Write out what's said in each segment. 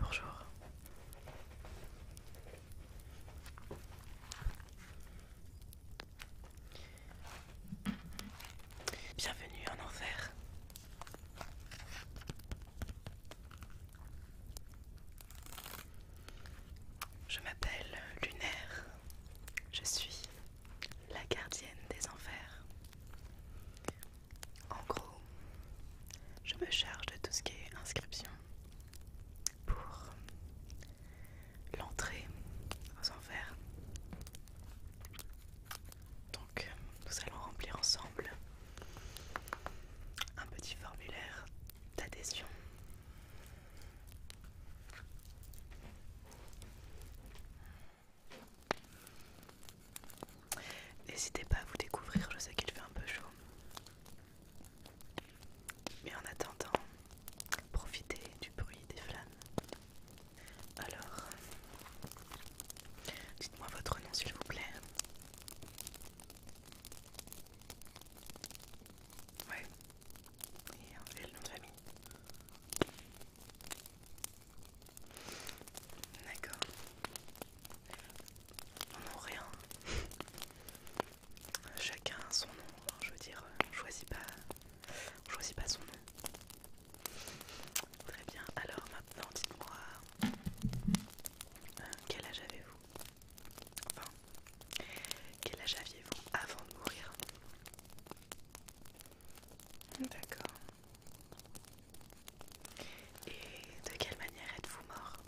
Bonjour. Bienvenue en enfer. Je m'appelle Lunaire. Je suis la gardienne des enfers. En gros, je me charge de tout ce qui est inscription pour l'entrée aux enfers. Donc, nous allons remplir ensemble un petit formulaire d'adhésion N'hésitez pas à vous découvrir, je sais qu'il fait un peu chaud. Mais en attendant, profitez du bruit des flammes. Alors, dites-moi votre nom s'il vous plaît. Ouais, et, enlever le nom de famille. D'accord. On rien. Chacun son nom. Hein, je veux dire, euh, on pas, choisis choisit pas son nom. Très bien. Alors maintenant, dites-moi, euh, quel âge avez-vous Enfin, quel âge aviez-vous avant de mourir D'accord. Et de quelle manière êtes-vous mort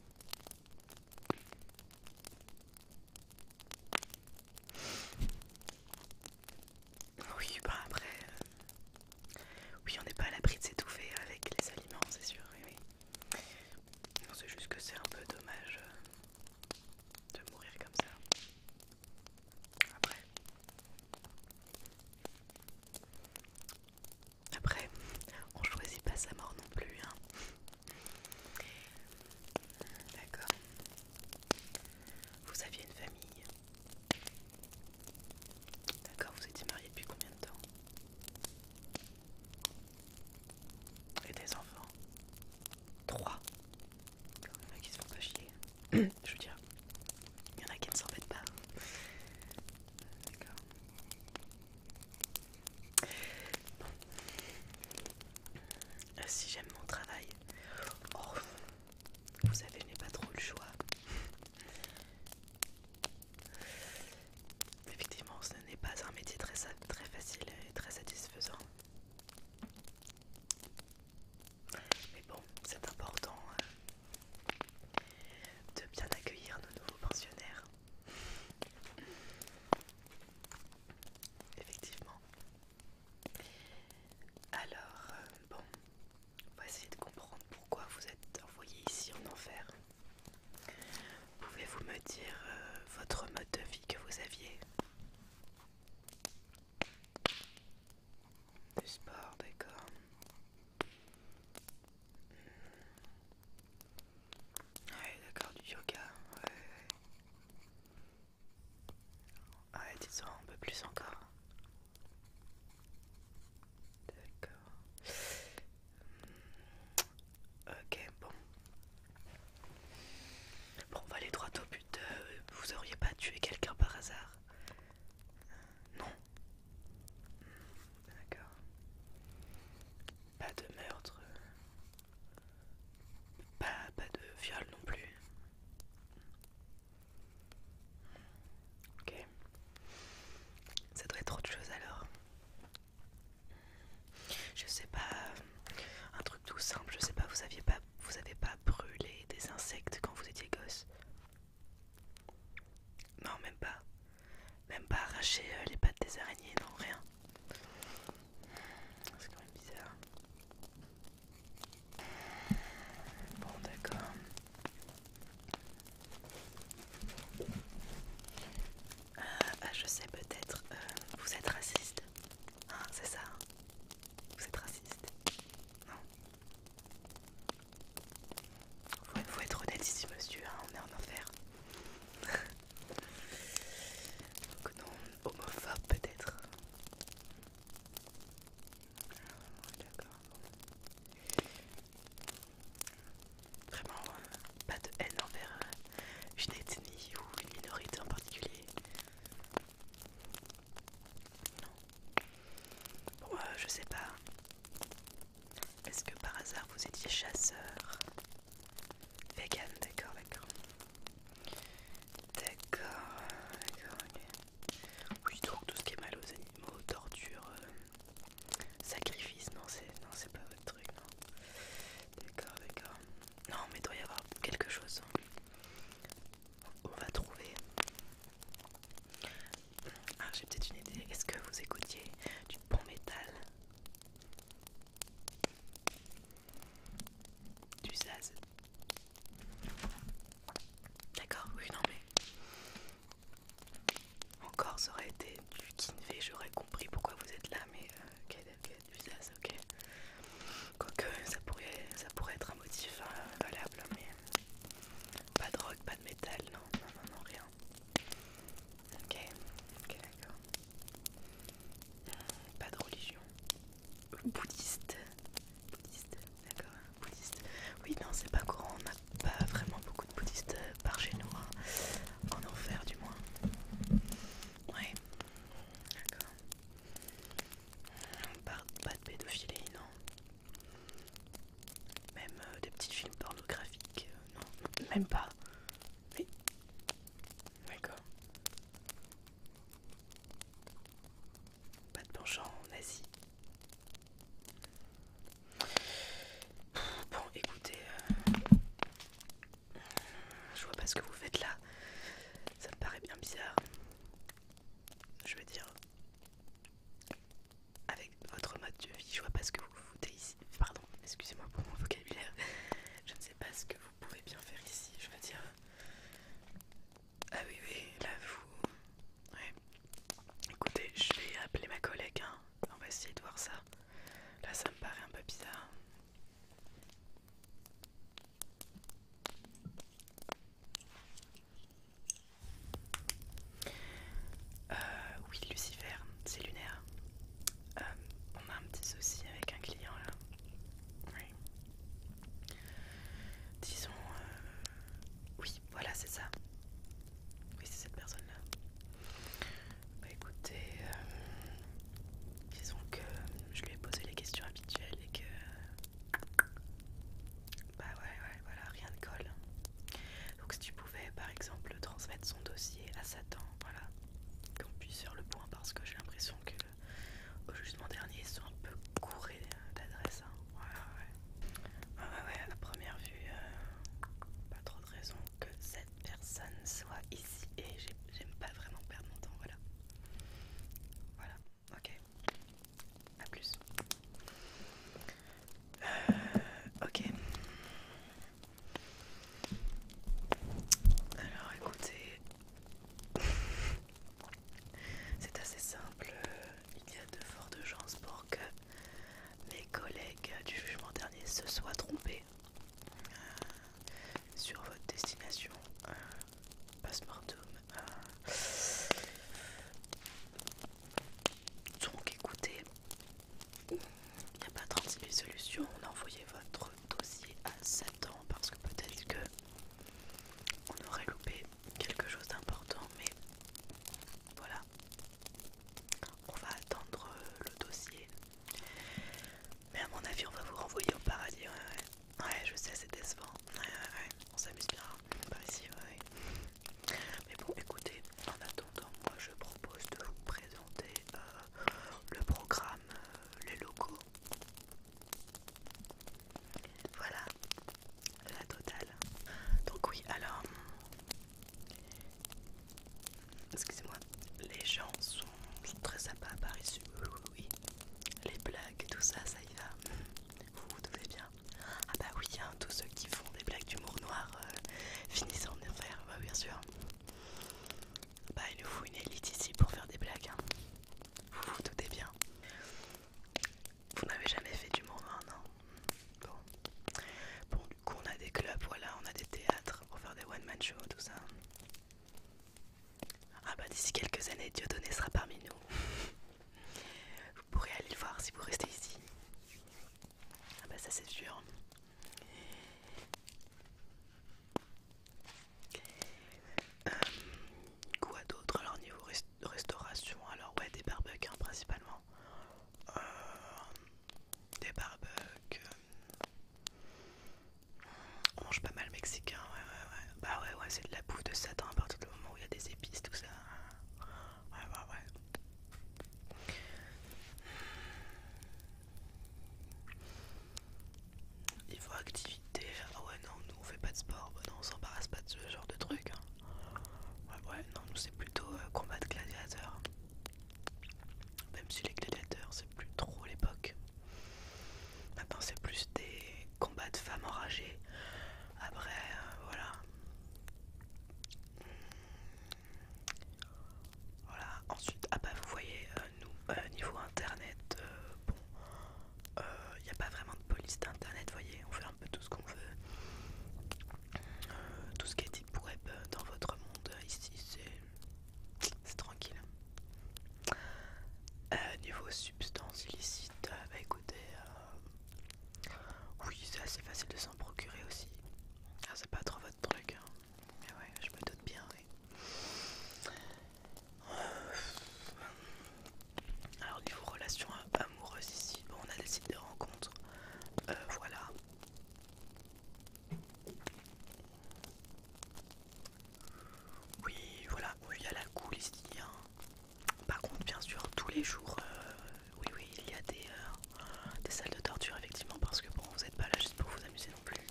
Oui, bah après... Euh, oui, on n'est pas à l'abri de s'étouffer avec les aliments, c'est sûr, oui. Non, c'est juste que c'est un peu dommage euh, de mourir comme ça. Après. Après, on choisit pas sa mort non plus, hein. D'accord. Vous aviez une famille. D'accord, vous étiez mariés depuis combien de temps et des enfants. Trois. Il y en a qui se font pas chier. Je veux dire, il y en a qui ne s'en s'embêtent pas. D'accord. Euh, si j'aime mon travail, oh, vous savez, je n'ai pas trop le choix. Effectivement, ce n'est pas un métier très, facile et très satisfaisant. Mais bon, c'est important hein, de bien accueillir nos nouveaux pensionnaires. Effectivement. Alors, euh, bon, on de comprendre pourquoi vous êtes envoyés ici en enfer. Pouvez-vous me dire euh, votre mode de vie que vous aviez Du sport, d'accord. Hmm. Ouais, d'accord, du yoga. Ouais, ouais. ouais disons un peu plus encore. D'accord. Ok, bon. Bon, on va aller droit au but. Euh, vous auriez pas tué quelqu'un par hasard Non. D'accord. Pas de meurtre. Pas, de viol non plus. Ok. Ça devrait être autre chose alors. Je sais pas, euh, un truc tout simple, je sais pas, vous aviez pas vous avez pas brûlé des insectes quand vous étiez gosse Non, même pas. Même pas arracher euh, les pattes des araignées, non, rien. C'est quand même bizarre. Bon, d'accord. Euh, ah, je sais peut-être, euh, vous êtes raciste hein, C'est ça hein. Vous êtes raciste Non faut, faut être honnête ici monsieur, hein, on est en enfer. Donc non, homophobe peut-être. Ah, Vraiment, euh, pas de haine envers euh, une ethnie ou une minorité en particulier. Non. Bon, euh, je sais pas. Est-ce que par hasard vous étiez chasseur Vegan, d'accord, d'accord. D'accord, d'accord, ok. Oui, donc tout ce qui est mal aux animaux, torture, Sacrifice, non, c'est pas votre truc, non. D'accord, d'accord. Non, mais doit y avoir quelque chose. Hein. On va trouver. Ah, j'ai peut-être une idée. Est-ce que vous écoutiez du bon métal Du Zaz D'accord, oui, non, mais encore, ça aurait été du Kinvé, j'aurais compris pourquoi vous êtes là, mais ok, euh, du ok Quoique, ça pourrait, ça pourrait être un motif hein, valable, mais euh, pas de rock, pas de métal, non, non, non, rien. Ok, ok, d'accord. Euh, pas de religion. Bouddhiste. Bouddhiste, d'accord. Hein, bouddhiste. Oui, non, c'est pas courant pas vraiment beaucoup de bouddhistes euh, par chez nous, hein. en enfer du moins. Ouais, d'accord. Pas de pédophilie, non. Même euh, des petits films pornographiques, euh, non, même pas. Mais. D'accord. Pas de penchant en Asie. Bon, écoutez, euh, je vois pas ce que vous faites là. Ça me paraît bien bizarre. Je veux dire, avec votre mode de vie, je vois pas ce que vous foutez ici. Pardon, excusez-moi pour mon vocabulaire. Je ne sais pas ce que vous pouvez bien faire ici. Je veux dire, ah oui, oui, là vous. Écoutez, je vais appeler ma collègue, hein. on va essayer de voir ça. Là, ça me paraît un peu bizarre. Euh, oui, Lucifer, c'est lunaire. Euh, on a un petit souci avec un client là. Oui. Disons, euh, oui, voilà, c'est ça. Oui, c'est cette personne-là. Bah écoutez, euh, disons que je lui ai posé les questions habituelles et que... Bah ouais, ouais, voilà, rien ne colle. Donc si tu pouvais, par exemple, transmettre son dossier à Satan, voilà, qu'on puisse faire le point parce que j'ai l'impression que au jugement dernier, ils sont un peu courés euh, d'adresse. Hein. ouais. Ah ouais, ouais, à première vue, euh, pas trop de raison que cette personne soit ici et j'aime pas vraiment perdre mon temps, voilà. Voilà, ok. A plus. Euh, ok. Alors écoutez, c'est assez simple. Euh, il y a de fortes chances pour que mes collègues du jugement dernier se soient trompés euh, sur votre destination euh, Passeportum. Euh. Donc écoutez, il n'y a pas de 000 solutions. On a envoyé votre dossier à Satan parce que peut-être que on aurait loupé quelque chose d'important, mais voilà. On va attendre euh, le dossier. Mais à mon avis, on va vous renvoyer au paradis. Ouais, ouais. ouais je sais, c'est décevant. Ouais, ouais, ouais. On s'amuse bien par ici. Ouais, Mais bon, écoutez, en attendant, moi je propose de vous présenter euh, le programme, euh, les locaux. Voilà, la totale. Donc oui, alors... Excusez-moi, les gens sont, très sympas à Paris, oui, Les blagues, tout ça, ça y va. Vous vous doutez bien Ah bah oui, hein, tous ceux qui font des blagues d'humour noir euh, finissent en enfer, bah bien sûr. Bah il nous faut une élite ici pour faire des blagues. Tout hein. Vous vous doutez bien. Vous n'avez jamais fait du monde non hein. bon. bon, du coup, on a des clubs, voilà, on a des théâtres pour faire des one-man shows, tout ça. Ah bah d'ici quelques années, donné sera parmi nous. vous pourrez aller le voir si vous restez ici. Ah bah ça c'est sûr. Euh, quoi d'autre alors niveau restauration alors ouais des barbecues hein, principalement euh, des barbecues euh, on mange pas mal mexicain ouais ouais ouais bah ouais ouais c'est de la bouffe de satan à partir du moment où il y a des épices tout ça ouais ouais ouais Niveau activité, ah ouais non, on fait pas de sport, bah non, on s'embarrasse pas de ce genre de truc. Hein. Ouais, ouais, non, nous c'est plutôt euh, combat de gladiateurs. Même si les gladiateurs, c'est plus trop l'époque. Maintenant, c'est plus des combats de femmes enragées. Après, euh, voilà. Voilà, ensuite, ah bah vous voyez, euh, nous, niveau internet, bon, il euh, n'y a pas vraiment de police d'internet, vous voyez, on fait un peu tout ce qu'on veut. Euh, tout ce qui est pour web euh, dans votre monde, ici c'est tranquille. Euh, niveau substances illicites, bah écoutez, oui c'est assez facile de s'en procurer aussi. Ah, c'est pas trop votre truc, hein. mais ouais, je me doute bien, oui. Alors niveau relation amoureuse ici, on a des sites de rencontres. Euh, voilà. Oui, voilà, oui, a la cool ici. Hein. Par contre, bien sûr, tous les jours, euh, oui, oui, il y a des, euh, des salles de torture, effectivement, parce que bon, vous n'êtes pas là juste pour vous amuser non plus.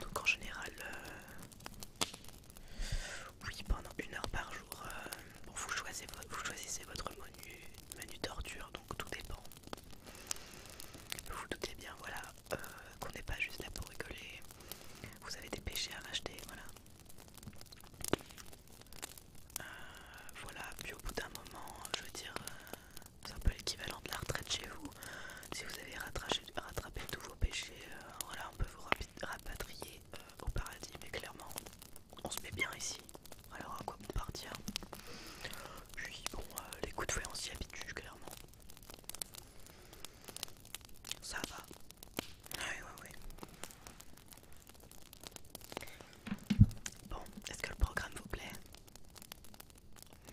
Donc en général, oui, pendant une heure par jour. Euh, vous choisissez, votre menu, menu torture, donc tout dépend. Vous vous doutez bien, voilà, euh, qu'on n'est pas juste là pour rigoler. Vous avez des péchés à racheter, voilà. Euh, voilà, puis au bout d'un moment, je veux dire, c'est un peu l'équivalent de la retraite chez vous. Si vous avez rattraché rattraper tous vos péchés, euh, voilà, on peut vous rapatrier euh, au paradis, mais clairement, on se met bien ici, alors à quoi partir Puis bon, euh, les coups de fouet, on s'y habitue, clairement. Ça va. Oui, Bon, est-ce que le programme vous plaît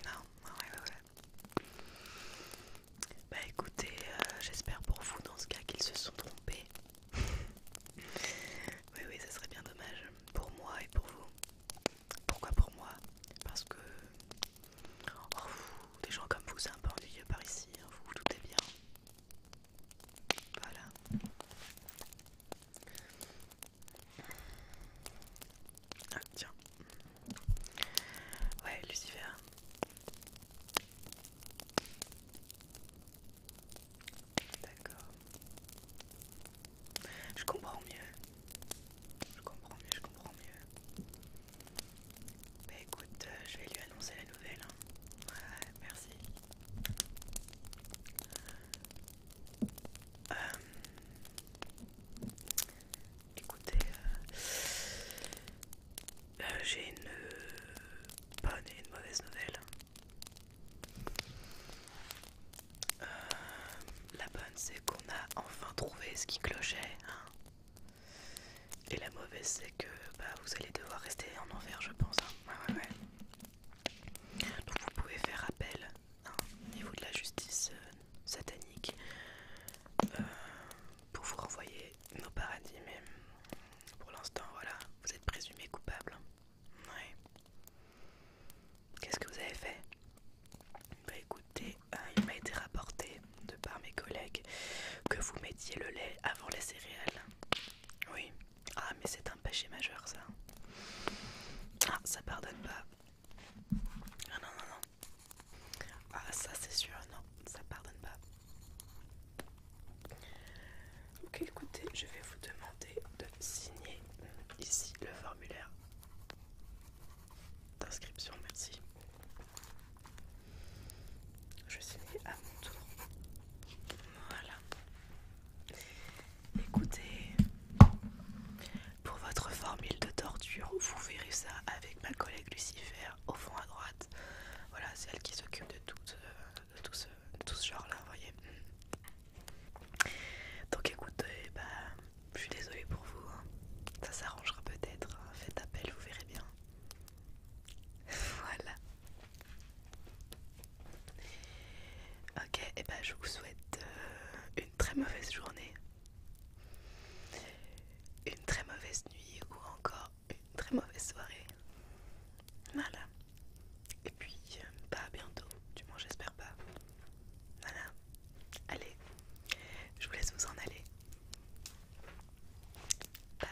Non, ouais. Bah écoutez, euh, j'espère pour vous dans ce cas qu'ils se sont trompés. oui, oui, ça serait bien dommage pour moi et pour vous. Pourquoi pour moi Parce que oh, des gens comme vous, c'est un peu ennuyeux par ici, hein, vous vous doutez bien. Voilà. Ah tiens. Ouais, Lucifer. D'accord. Je comprends mieux. Je comprends mieux, je comprends mieux. Bah écoute, euh, je vais lui annoncer la nouvelle. Hein. Ouais, merci. Euh, Écoutez, euh, euh, j'ai une bonne et une mauvaise nouvelle. Euh, la bonne, c'est qu'on a enfin trouvé ce qui clochait. Hein. et la mauvaise, c'est que bah, vous allez devoir rester en enfer, je pense. Hein. Donc vous pouvez faire appel euh, au niveau de la justice euh, satanique euh, pour vous renvoyer au paradis. Mais pour l'instant, voilà, vous êtes présumé coupable. Qu'est-ce que vous avez fait Bah écoutez, il m'a été rapporté de par mes collègues que vous mettiez le lait avant les céréales. Oui. Ah mais c'est un péché majeur ça. Ah ça pardonne pas. Ah non, non, non. Ah, ça, c'est sûr, non, ça pardonne pas. Ok, écoutez, je vais vous demander de signer ici le formulaire d'inscription. Merci. Je signer à mon tour. Voilà. Écoutez, pour votre formule de torture, vous verrez ça avec ma collègue Lucifer au fond à droite. Voilà, c'est elle qui s'occupe de, tout ce, genre-là, vous voyez. Donc écoutez, bah, je suis désolée pour vous. Hein. Ça s'arrangera peut-être. Hein. Faites appel, vous verrez bien. voilà. Ok, et eh ben, je vous souhaite euh, une très mauvaise journée une très mauvaise nuit ou encore une très mauvaise soirée. Voilà. Et puis, euh, pas à bientôt, du moins j'espère pas. Voilà. Allez, je vous laisse vous en aller. Bye.